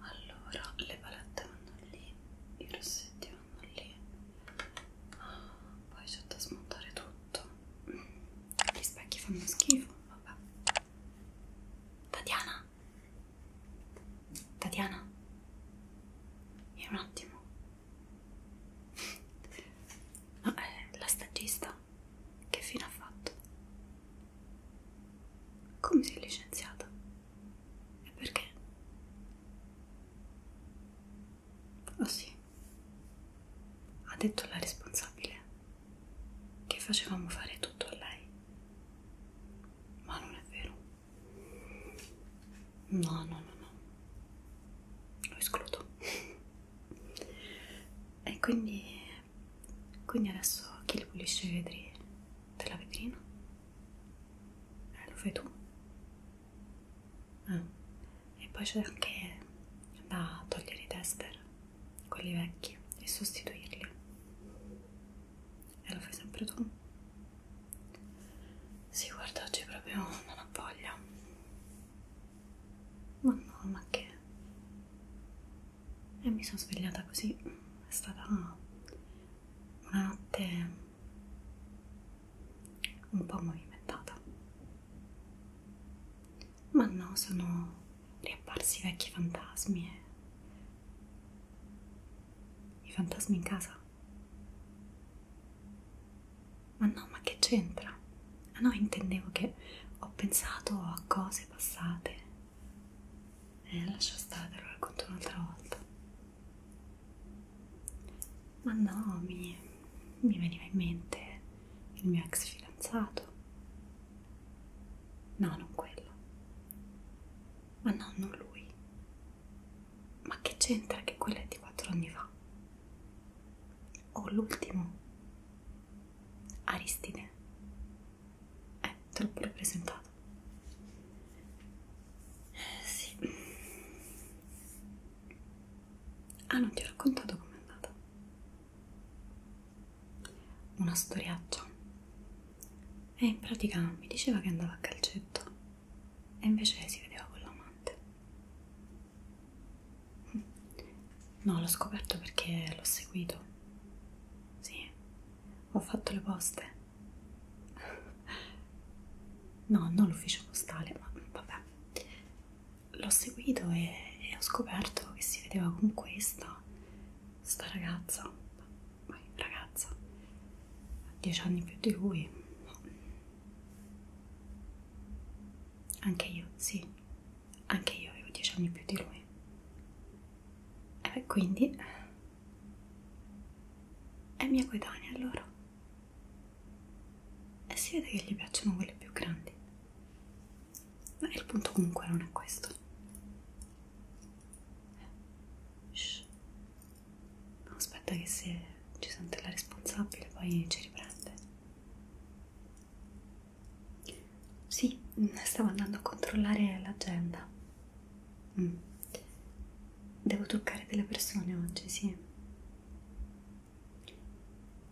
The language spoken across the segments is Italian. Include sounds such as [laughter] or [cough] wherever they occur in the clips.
Allora, le palette vanno lì, i rossetti vanno lì, poi c'è da smontare tutto. Gli specchi fanno schifo, vabbè. Tatiana? Tatiana? Vieni un attimo. [laughs] No, è eh, la stagista vita che fine ha fatto? Come si è licenziata? E perché? Oh sì, ha detto la responsabile che facevamo fare tutto a lei. Ma non è vero. No, no, no, no. Lo escludo e quindi, quindi adesso chi le pulisce i vetri della vetrina? Eh, lo fai tu? Ah. E poi c'è anche da togliere i tester, quelli vecchi, e sostituirli. E lo fai sempre tu? Sì, guarda, oggi proprio non ho voglia. Ma no, ma che... E mi sono svegliata così. È stata una notte un po' movimentata. Ma no, sono riapparsi vecchi fantasmi e... I fantasmi in casa ma no, ma che c'entra? Ah no, intendevo che ho pensato a cose passate. Eh, lascia stare, lo racconto un'altra volta. Ma no, mi, mi veniva in mente il mio ex fidanzato. No, non quello. Ma no, non lui. Ma che c'entra che quello è di quattro anni fa? o l'ultimo Aristide eh, te l'ho pure presentato sì ah non ti ho raccontato com'è andata una storiaccia e eh, in pratica mi diceva che andava a calcetto e invece si vedeva con l'amante No, l'ho scoperto perché l'ho seguito. Sì, ho fatto le poste. No, non l'ufficio postale, ma vabbè. L'ho seguito e, e ho scoperto che si vedeva con questa, sta ragazza, ma ragazza, ha dieci anni più di lui. No. Anche io, sì, anche io avevo dieci anni più di lui. E beh, quindi è mia coetanea allora. E si vede che gli piacciono quelle più grandi. Ma il punto comunque non è questo. Shh. Aspetta che se ci sente la responsabile poi ci riprende. Sì, stavo andando a controllare l'agenda. Mm. Devo truccare delle persone oggi, sì.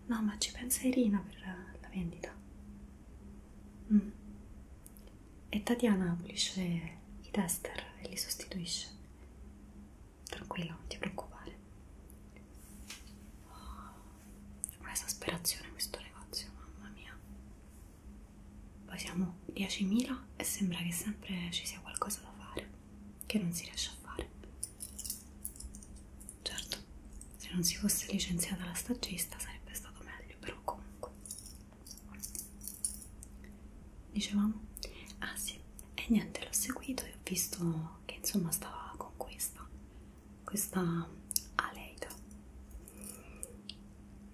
No, ma ci pensa Irina per la vendita. Mm. E Tatiana pulisce i tester e li sostituisce tranquilla, non ti preoccupare. Oh, Un'esasperazione questo negozio, mamma mia. Poi siamo 10.000 e sembra che sempre ci sia qualcosa da fare, che non si riesce a fare. Certo, se non si fosse licenziata la stagista sarebbe stato meglio, però comunque. Dicevamo? Ah sì, e niente, l'ho seguito e ho visto che insomma stava con questa questa Aleida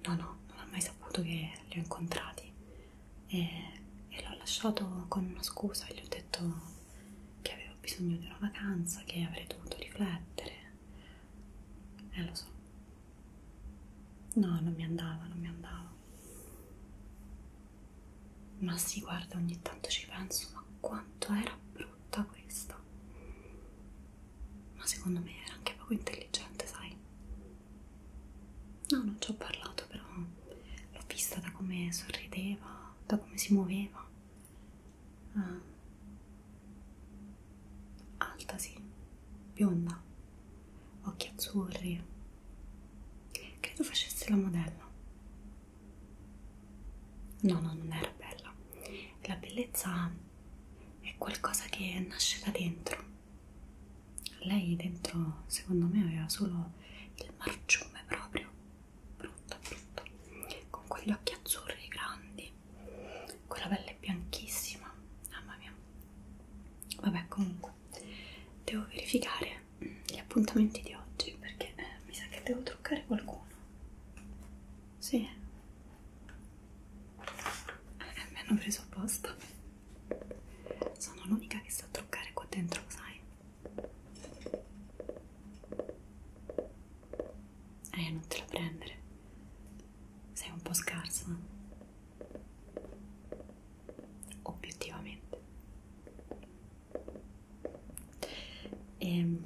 no no non ha mai saputo che li ho incontrati e, e l'ho lasciato con una scusa gli ho detto che avevo bisogno di una vacanza che avrei dovuto riflettere e eh, lo so no non mi andava non mi andava ma sì, guarda, ogni tanto ci penso, ma quanto era brutta questa. Ma secondo me era anche poco intelligente, sai? No, non ci ho parlato, però l'ho vista da come sorrideva, da come si muoveva. Ah. Alta, sì, bionda, occhi azzurri. Credo facesse la modella. No, no, non era bella. La bellezza è qualcosa che nasce da dentro. Lei dentro, secondo me, aveva solo il marciume proprio, brutta, brutta, con quegli occhi azzurri grandi, quella pelle bianchissima. Mamma mia. Vabbè, comunque, devo verificare anche gli appuntamenti di oggi perché eh, mi sa che devo truccare qualcuno. Sì, eh, mi hanno preso apposta. Sono l'unica che sa truccare qua dentro, lo sai. Eh, non te la prendere. Sei un po' scarsa. Obiettivamente e ehm,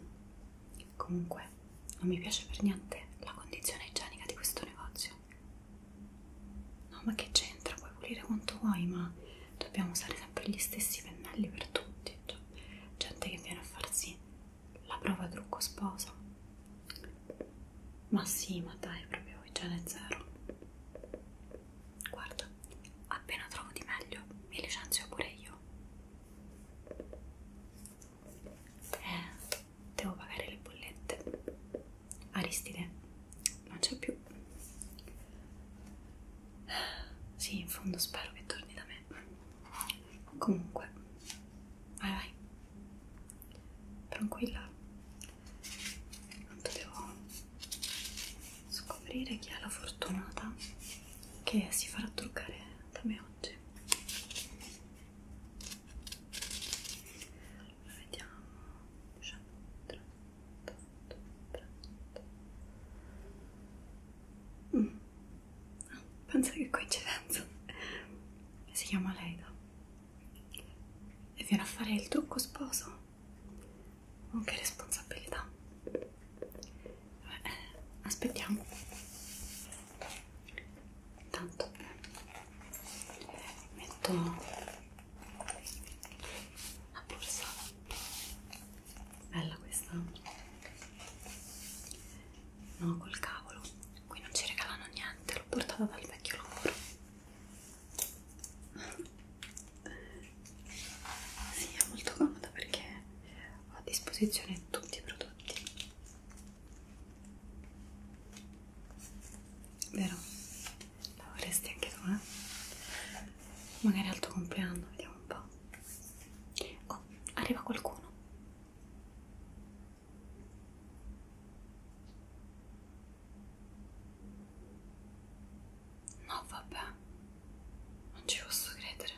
comunque non mi piace per niente la condizione igienica di questo negozio no ma che c'entra puoi pulire quanto vuoi ma dobbiamo usare sempre gli stessi pennelli per tutti cioè, gente che viene a farsi la prova trucco sposa ma sì ma dai proprio igiene zero Guarda, appena trovo di meglio, mi licenzio pure io. Eh, devo pagare le bollette. Aristide, non c'è più. Sì, in fondo spero che torni da me. Comunque, vai vai. Tranquilla. Tanto devo scoprire chi è la fortunata che si farà truccare da me oggi. Vediamo. 19, 30, 30. Mm. Ah, pensa che coincidenza. Si chiama Leida e viene a fare il trucco sposo. Anche oh, responsabilità. Vabbè, aspettiamo. Intanto eh, metto la borsa. Bella questa. No, col cavolo. Qui non ci regalano niente, l'ho portata dal vecchio lavoro sì, è molto comoda perché ho a disposizione tutti i prodotti vero? la vorresti anche tu, eh? magari al tuo compleanno, vediamo un po' oh, arriva qualcuno No, vabbè, non ci posso credere.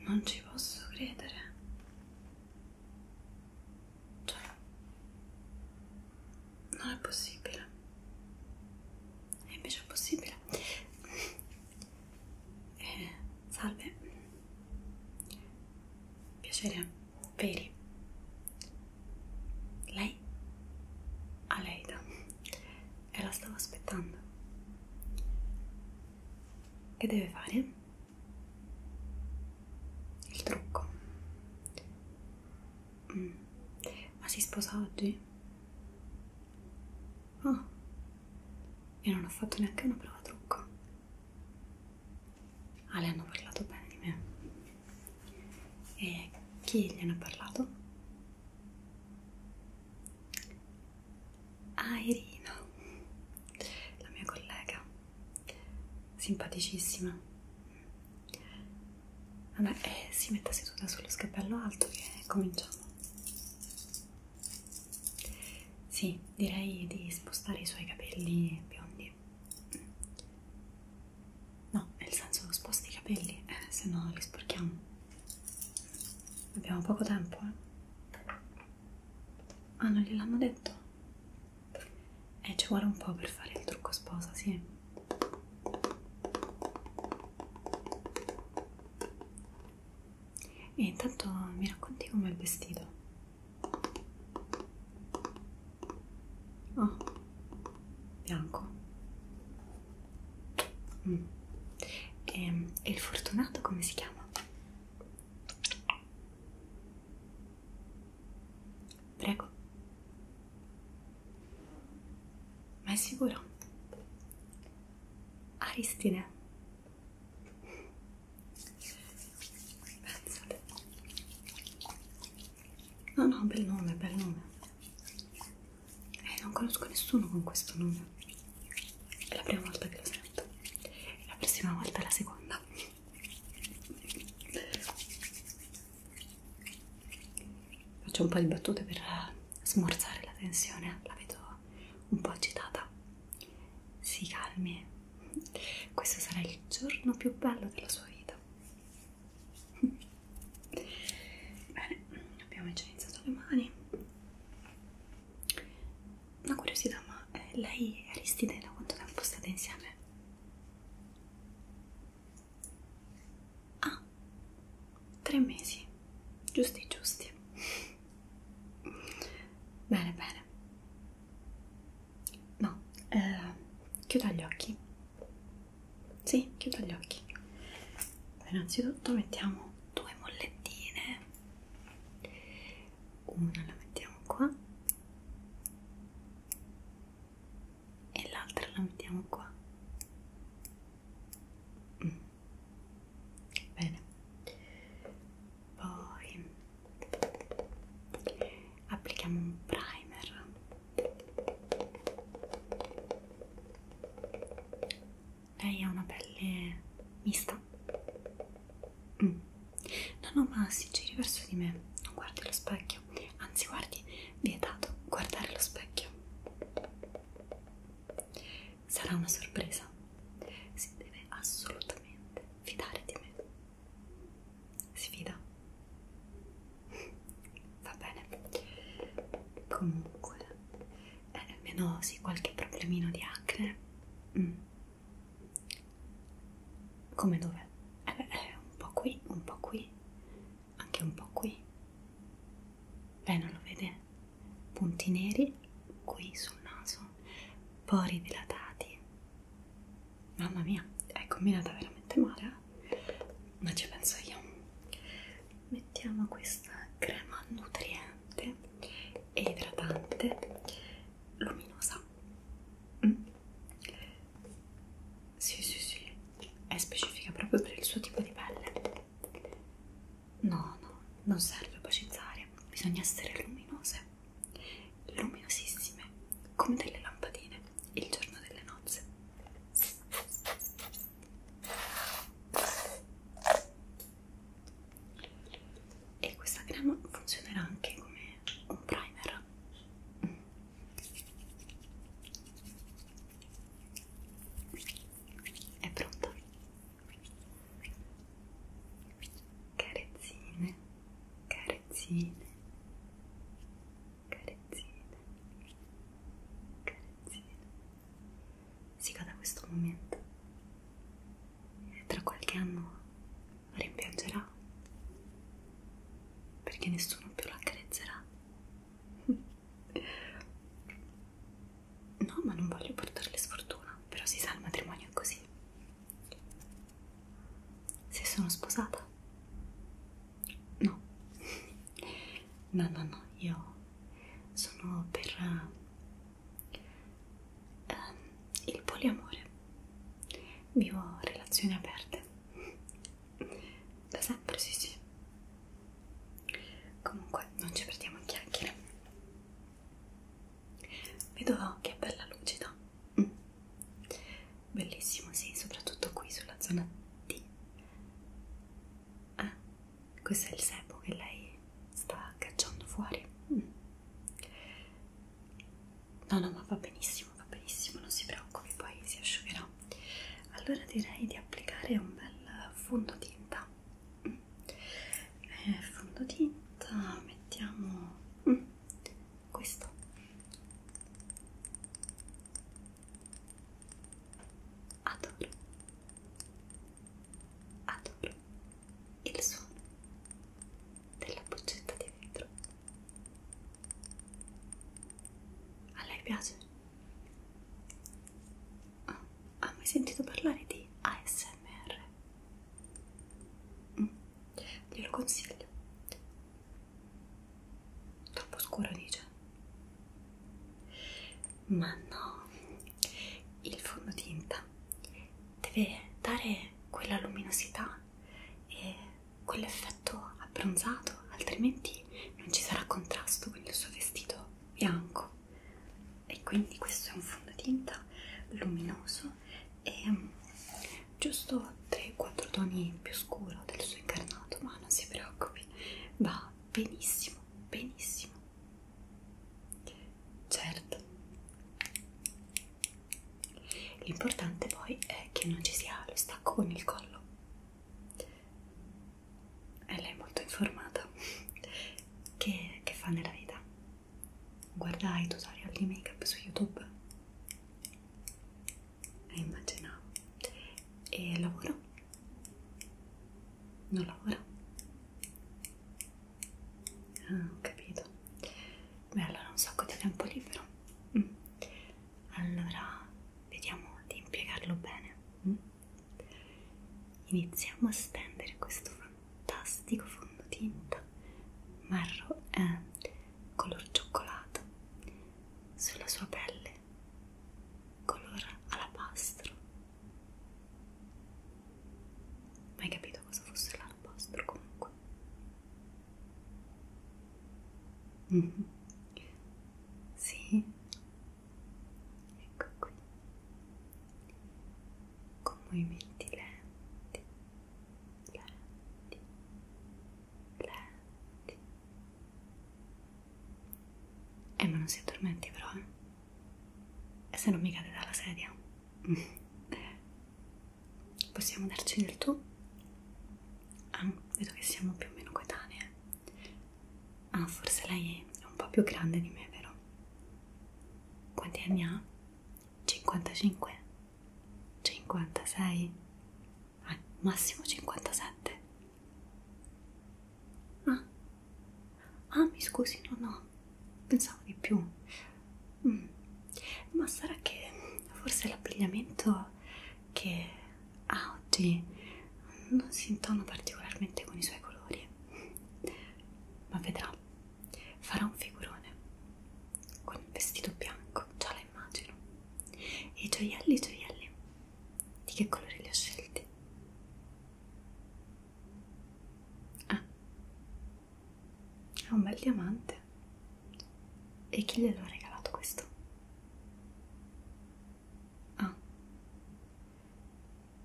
Non ci posso credere. Cioè, non è possibile. E invece è possibile. Eh, salve. Piacere veri. Lei? Aleida. E la stavo aspettando. Che deve fare? Il trucco. Mm. Ma si sposa oggi? Oh, io non ho fatto neanche una prova trucco. Ale ah, hanno parlato bene di me. E chi gliene ha parlato? Ah, Irina, la mia collega, simpaticissima. Vabbè, ah, eh, si metta seduta sullo scappello alto che cominciamo. Sì, direi di spostare i suoi capelli biondi capelli no nel senso sposti i capelli eh, se no li sporchiamo abbiamo poco tempo eh. ah non gliel'hanno detto e eh, ci vuole un po' per fare il trucco sposa sì e intanto mi racconti com'è il vestito Oh, bianco. Mm. E, ehm, e il fortunato come si chiama? Prego. Ma è sicuro? Aristine. Pensate. No, no, bel nome, bel nome. Eh, non conosco nessuno con questo nome. È la prima volta che lo sento. E la prossima volta la seconda. Faccio un po' di battute per eh, smorzare la tensione, la vedo un po' agitata. Si calmi. Questo sarà il giorno più bello della sua vita. Bene, abbiamo già iniziato le mani. Una curiosità, ma eh, lei e Aristide da quanto tempo state insieme? Ah, tre mesi, giusti giusti. Bene, bene. No, eh, chiuda gli occhi. Sì, chiuda gli occhi. Innanzitutto mettiamo due mollettine. Una la mettiamo qua e l'altra la mettiamo qua. Mm. Bene. Poi applichiamo un primer lei ha una pelle mista mm. no no ma si giri verso di me non guardi lo specchio anzi guardi vietato guardare lo specchio sarà una sorpresa si deve assolutamente fidare di me sfida va bene comunque eh, almeno sì qualche problemino di acne mm. come dov'è? Eh, eh, un po' qui un po' qui anche un po' qui lei non lo vede? punti neri qui sul naso pori dilatati Mamma mia, è combinata veramente male, eh? ma ci penso io. Mettiamo questa crema nutriente e idratante luminosa. Mm? Sì, sì, sì, è specifica proprio per il suo tipo di pelle. No, no, non serve opacizzare, bisogna essere luminose luminosissime come delle lampadine il giorno delle nozze. E questa crema funzionerà anche come un primer. È pronta. Carezzine, carezzine carezzine, carezzine, carezzine. Si da questo momento e tra qualche anno la rimpiangerà perché nessuno più la carezzerà. [laughs] No, ma non voglio portarle sfortuna, però si sa il matrimonio è così. Se sono sposata? No, no, no, no, io sono per uh, il poliamore. Vivo relazioni aperte. Da sempre, sì, sì. Comunque, non ci perdiamo in chiacchiere. Vedo che è bella lucida. Mm. Bellissimo, sì, soprattutto qui sulla zona D. Ah, questo è il sebo che lei sta cacciando fuori. Mm. No, no, ma va benissimo, va benissimo, non si preoccupi, poi si asciugherà. Allora direi di applicare un bel fondotinta. Mm. Eh, fondotinta, mettiamo... Mm questo adoro adoro il suono della boccetta di vetro a lei piace? Oh, ha mai sentito parlare di ASMR? Mm, glielo consiglio troppo scuro dice ma no il fondotinta deve dare quella luminosità e quell'effetto abbronzato altrimenti non ci sarà contrasto con il suo vestito bianco e quindi questo è un fondotinta luminoso e mm, giusto 3-4 toni più scuro del suo incarnato, ma non si preoccupi, va benissimo, benissimo. Certo. L'importante poi è che non ci sia lo stacco con il collo. E lei è molto informata. [laughs] Che, che fa nella vita? guardai i tutorial di make up su youtube e immaginavo e lavoro? non lavoro? ah ho capito beh allora un sacco di tempo libero mm. allora vediamo di impiegarlo bene mm. iniziamo a stendere questo fantastico fondotinta marrone eh, color cioccolato sulla sua pelle color alabastro mai capito cosa fosse l'alabastro comunque mhm. sì ecco qui con movimenti lenti lenti, lenti. Eh, ma non si addormenti però, eh? E se non mi cade dalla sedia? [laughs] Possiamo darci del tu? Ah, vedo che siamo più o meno coetanee. Ah, forse lei è un po' più grande di me, vero? Quanti anni ha? 55 56 al massimo 57 ah ah mi scusi no no pensavo di più mm. ma sarà che forse l'abbigliamento che ha oggi non si intona particolarmente con i suoi colori ma vedrà farà un figurone con un vestito bianco, già la immagino. E i gioielli, i gioielli, di che colore li ho scelti? Ah, è un bel diamante. E chi gliel'ho regalato questo? Ah,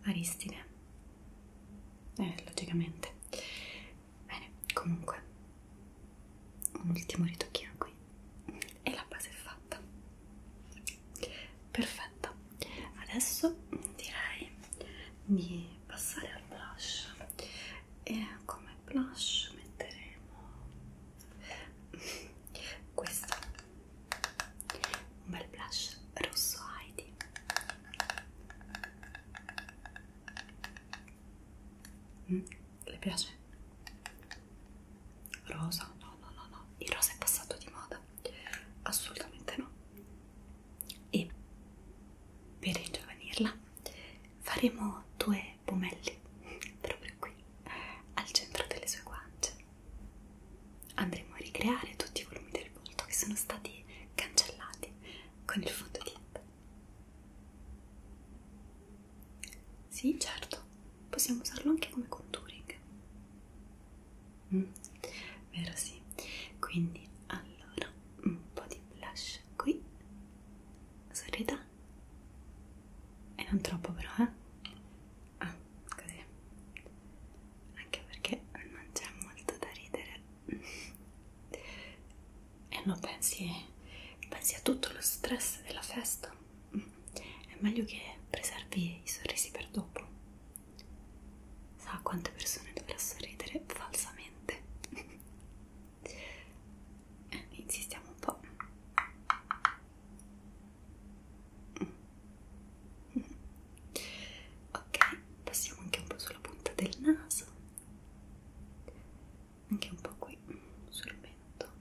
Aristide. Eh, logicamente. Bene, comunque, un ultimo ritocchino qui e la base è fatta. Perfetto, adesso direi di passare al blush e come blush metteremo questo un bel blush rosso Heidi Mm, le piace? Rosa? No, no, no, no. Il rosa è passato di moda. Assolutamente no. E per ringiovanirla faremo due pomelli proprio qui al centro delle sue guance. Andremo a ricreare tutti i volumi del volto che sono stati cancellati con il fondotinta. Sì, certo, possiamo usarlo anche come contouring. Mm. Vero, sì. Quindi, allora, un po' di blush qui. Sorrida. E non troppo però, eh? Ah, così. Anche perché non c'è molto da ridere e non pensi, pensi a tutto lo stress della festa è meglio che preservi i sorrisi per dopo sa quante persone dovrà sorridere falsamente eh, insistiamo un po' ok passiamo anche un po' sulla punta del naso anche un po' qui sul mento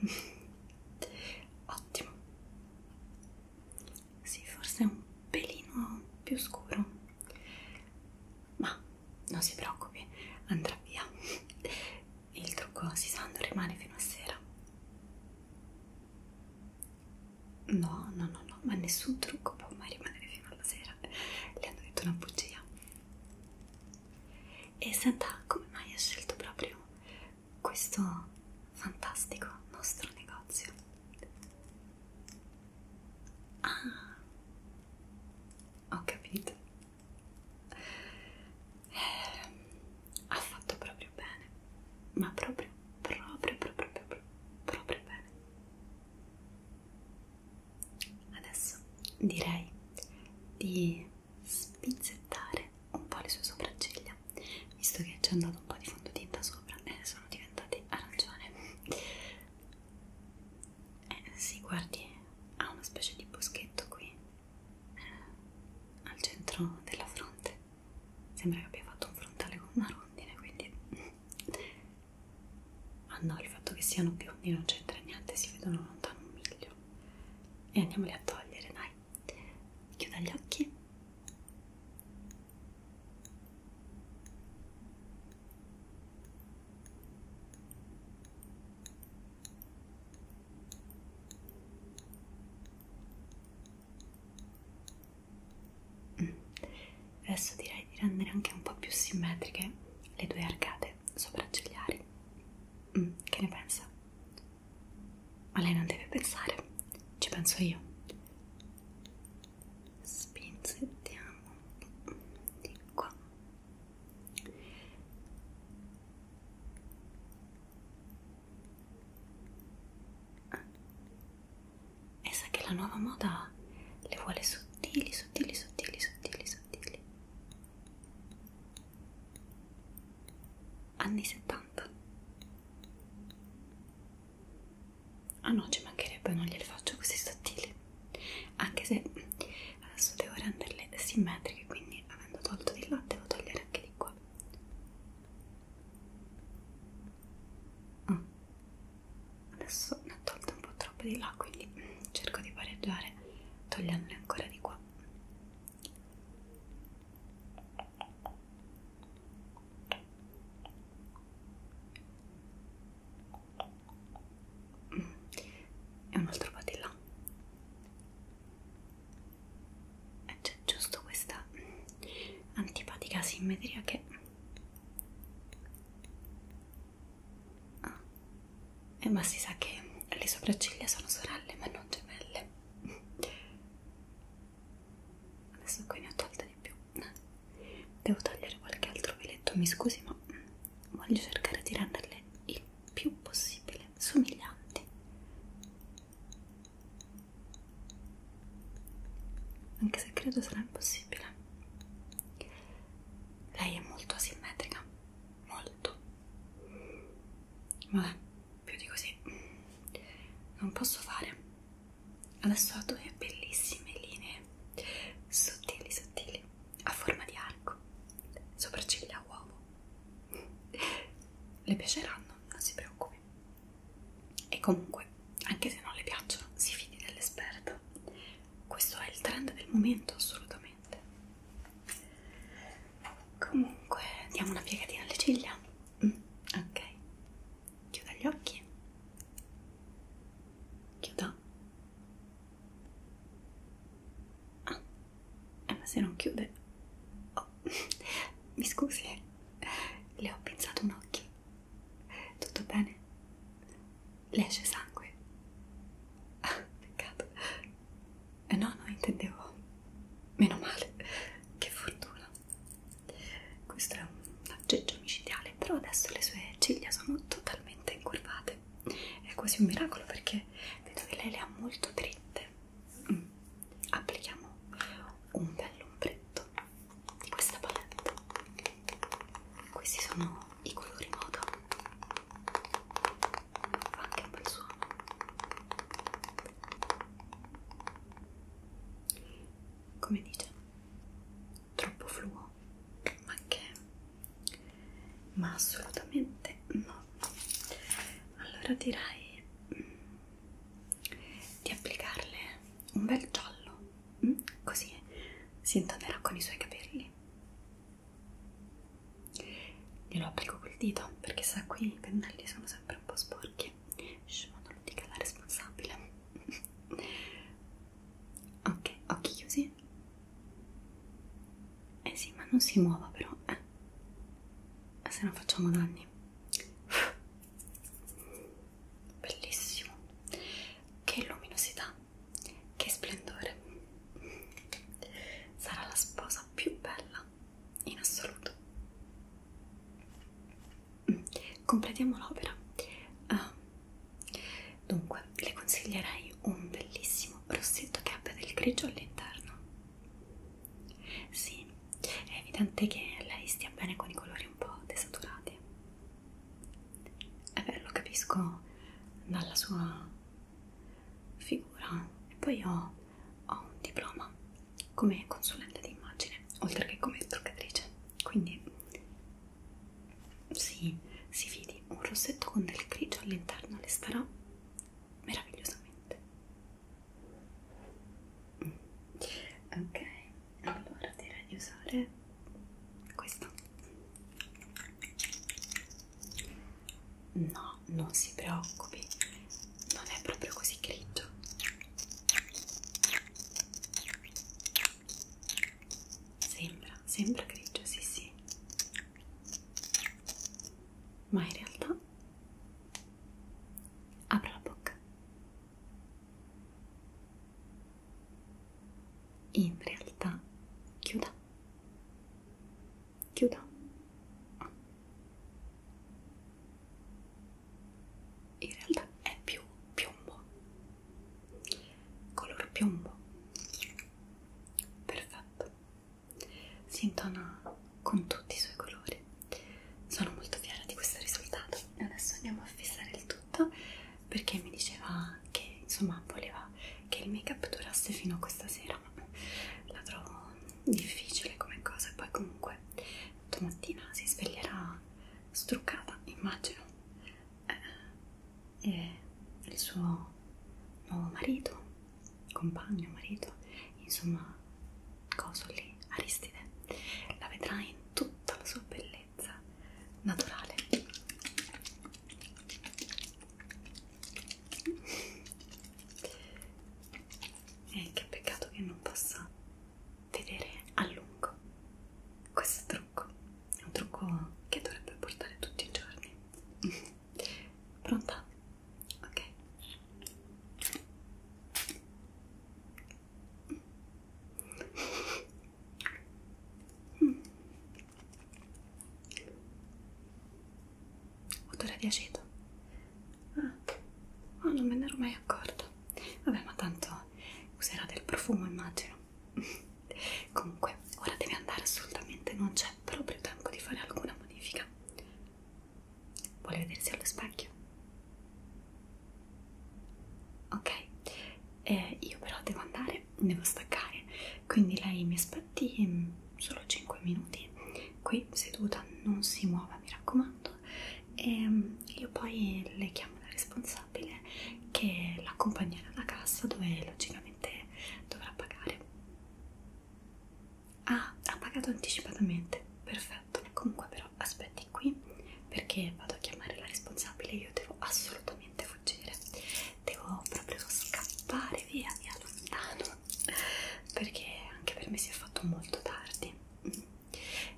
[laughs] ottimo sì forse è un pelino più scuro ma non si preoccupi andrà via il trucco si sa rimane fino a sera no no no no ma nessun trucco può mai rimanere fino alla sera le hanno detto una bugia e senta come mai ha scelto proprio questo fantastico nostro negozio ah ho capito eh, ha fatto proprio bene, ma proprio, proprio, proprio, proprio, proprio bene. Adesso direi di spizzettare un po' le sue sopracciglia, visto che c'è andato un po' di fondotinta sopra e sono diventate arancione. Eh sì, guardi, ha una specie di boschetto qui, eh, al centro della fronte. Sembra che abbia fatto un frontale con una rondine, quindi... [laughs] Ah no, il fatto che siano biondi non c'entra niente, si vedono lontano un miglio. E andiamoli a togliere, dai. Chiuda gli occhi. Adesso direi di rendere anche un po' più simmetriche le due arcate sopraccigliari. Mm, che ne pensa? Ma lei non deve pensare, ci penso io. Spinzettiamo di qua Ah. E sa che la nuova moda le vuole sottili, sottili, sottili, sottili, sottili. Anni 70. Ah no, ci mancherebbe, non gliele faccio così sottili anche se adesso devo renderle simmetriche quindi avendo tolto di là devo togliere anche di qua oh. adesso ne ho tolto un po' troppo di là quindi cerco di pareggiare togliendole ancora di qua e un altro po' di là c'è giusto questa antipatica simmetria che ah. eh, ma si sa che le sopracciglia sono sorelle ma non gemelle adesso qui ne ho tolte di più devo tagliare qualche altro filetto mi scusi ma voglio cercare di renderle il più possibile somiglianti anche se credo sarà impossibile lei è molto asimmetrica molto vabbè più di così non posso fare adesso ha due bellissime linee sottili sottili a forma di arco, sopracciglia a uovo. Le piaceranno, non si preoccupi. E comunque, anche se non le piacciono, si fidi dell'esperta. Questo è il trend del momento, assolutamente. Comunque, diamo una piegatina alle ciglia. Mm, ok, chiuda gli occhi. Chiuda Ah, ma se non chiude... Oh, [laughs] mi scusi, le ho pinzato un occhio. Tutto bene? Le esce sangue? Ah, peccato. Eh, no, no, intendevo... Meno male, che fortuna. Questo è un aggeggio micidiale, però adesso le sue ciglia sono totalmente incurvate è quasi un miracolo perché vedo che lei le ha molto dritte mm. applichiamo un bel ombretto di questa palette questi sono i colori moda fa anche un bel suono come dice troppo fluo ma che ma assolutamente no allora direi mm, di applicarle un bel giallo mm, così si intonerà con i suoi capelli glielo applico col dito perché sa qui i pennelli sono sempre un po' sporchi Shh, non lo dica la responsabile Ok, occhi chiusi. Eh sì, ma non si muova però, eh. eh se non facciamo danni. Bellissimo. Che luminosità. Che splendore. Sarà la sposa più bella in assoluto. Mm, completiamo l'opera. Uh, Dunque, le consiglierei un bellissimo rossetto che abbia del grigio all'interno. Sì, è evidente che lei stia bene con i colori un po' desaturati. E beh, lo capisco dalla sua figura. E poi io ho un diploma come consulente di immagine, oltre che come truccatrice. Quindi sì, si vidi un rossetto con del grigio all'interno le starà meravigliosamente. Mm. Ok, allora direi di usare questo. No, non si preoccupi, non è proprio così grigio. Sembra, sembra grigio, sì sì. Ma in realtà apro la bocca. In realtà chiuda. Chiuda. In realtà è più piombo color piombo perfetto si intona con tutti i suoi colori sono molto fiera di questo risultato adesso andiamo a fissare il tutto perché mi diceva che insomma voleva che il make up durasse fino a questa sera la trovo difficile come cosa poi comunque domattina si sveglierà struccata immagino eh, e il suo nuovo marito, compagno, marito, insomma, coso lì, Aristide, la vedrà in tutta la sua bellezza naturale. E che peccato che non possa vedere a lungo questo trucco un trucco che dovrebbe portare tutti i giorni [laughs] pronta? ok mm. odore di aceto ah. oh, non me ne ero mai accorta vabbè ma tanto userà del profumo immagino [laughs] comunque ora devi andare assolutamente non c'è proprio tempo di fare alcuna modifica vuole vedersi allo specchio ok eh, io però devo andare devo staccare quindi lei mi aspetti mm, solo 5 minuti qui seduta non si muova mi raccomando e ehm, io poi le chiamo la responsabile mensile che l'accompagnerà alla cassa dove logicamente dovrà pagare. Ah, ha pagato anticipatamente, perfetto. Comunque però aspetti qui perché vado a chiamare la responsabile, io devo assolutamente fuggire, devo proprio scappare via, via lontano, perché anche per me si è fatto molto tardi.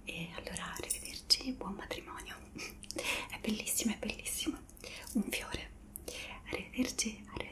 E allora arrivederci arrivederci, buon matrimonio, [laughs] è bellissima, è bellissima, un fiore, arrivederci, arrivederci.